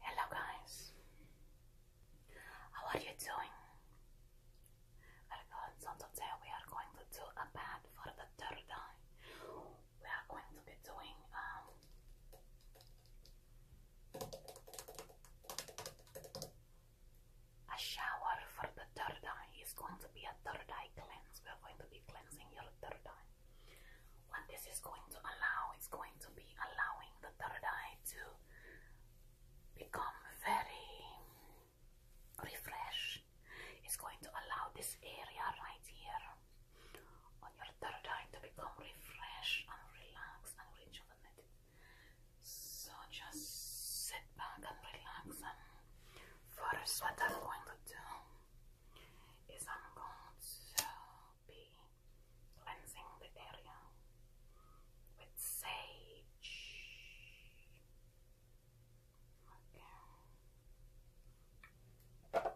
Hello, guys. How are you doing? Welcome. Today we are going to do a bath for the third day. We are going to be doing um, A shower for the third day. is going to be a third day cleanse. We are going to be cleansing your third day. What this is going to allow is going to be allowing the third eye to become very refreshed. It's going to allow this area right here on your third eye to become refreshed and relaxed and rejuvenated. So just sit back and relax. And first, what I'm going to do is I'm going to be cleansing the area with sage. Okay.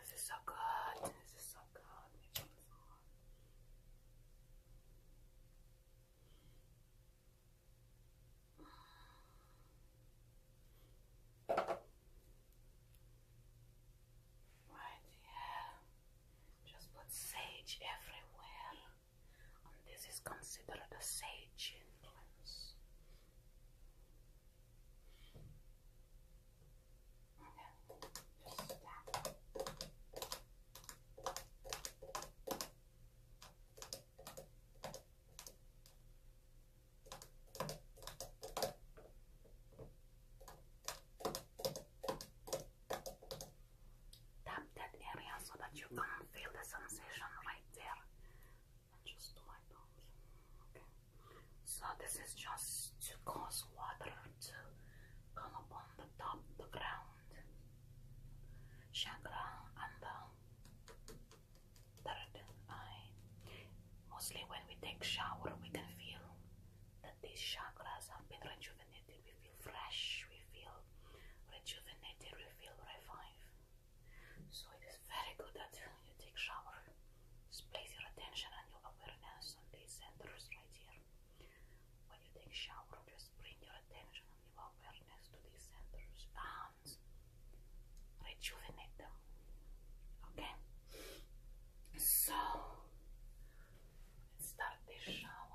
this is so good. This is so good. Right here, just put sage everywhere, and this is considered a sage influence. Tap that area so that you can feel the sensation right there. just do my So this is just to cause water to come upon the top, the ground chakra, and the that I mostly when we take shower we can feel that these chakras have been rejuvenated. We feel fresh, we feel rejuvenated, we feel revived. So it is very good that you take shower. place your attention and your awareness on these centers right here. When you take shower, just bring your attention and your awareness to these centers. Ah, rejuvenate them. Okay? So, let's start this shower.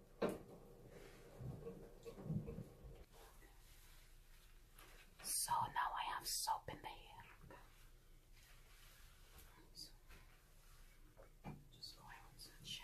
So now I have soap in the hair. just going so gently.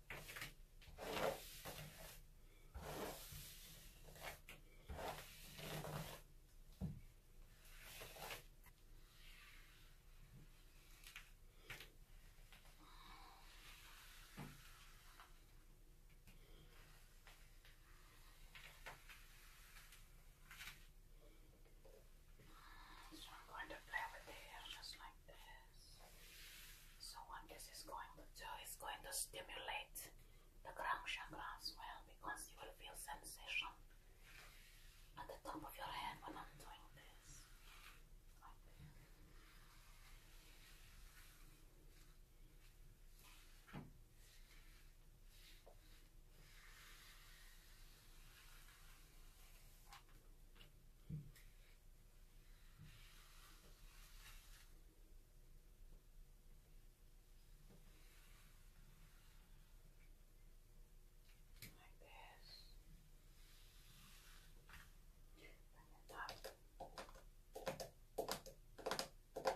So I'm going to play with the hair just like this. So what this is going to do is going to stimulate the ground chakra as well because you will feel sensation at the top of your head when I'm doing this. Like this. Bring it up. Like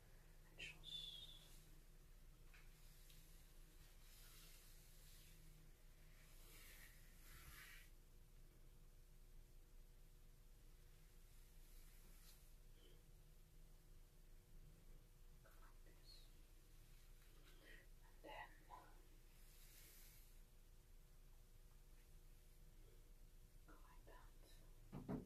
une chance. And then go like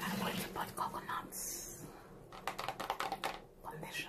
I'm going to put coconuts condition.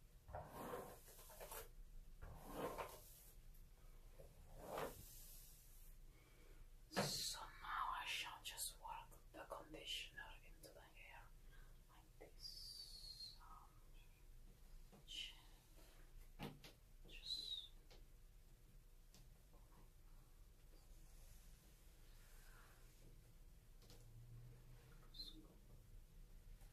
So I shall just work the conditioner into the hair like this. just just move it like this.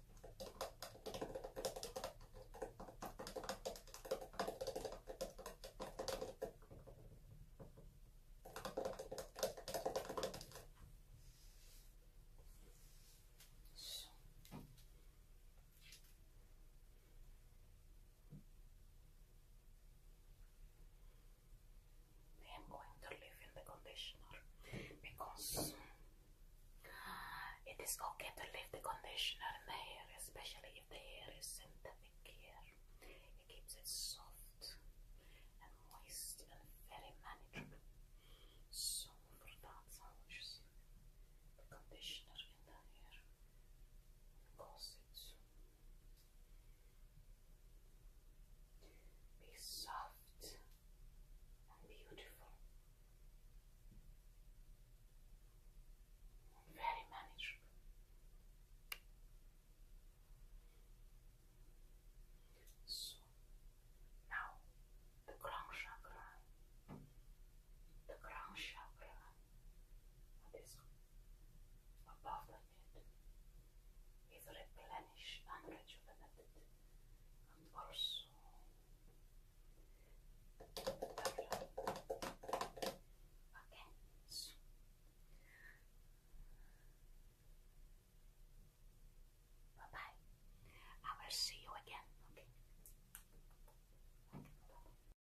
So. I am going to leave in the conditioner because It is okay to leave the conditioner in the hair, especially if the hair is synthetic hair. It keeps it soft and moist and very manageable. So for that, I will just the conditioner in the hair and cause it so soft and beautiful. Very manageable. So now the crown chakra, the crown chakra, that is above the head, is replenished and rejuvenated, and also Okay. Bye bye. I will see you again. Okay.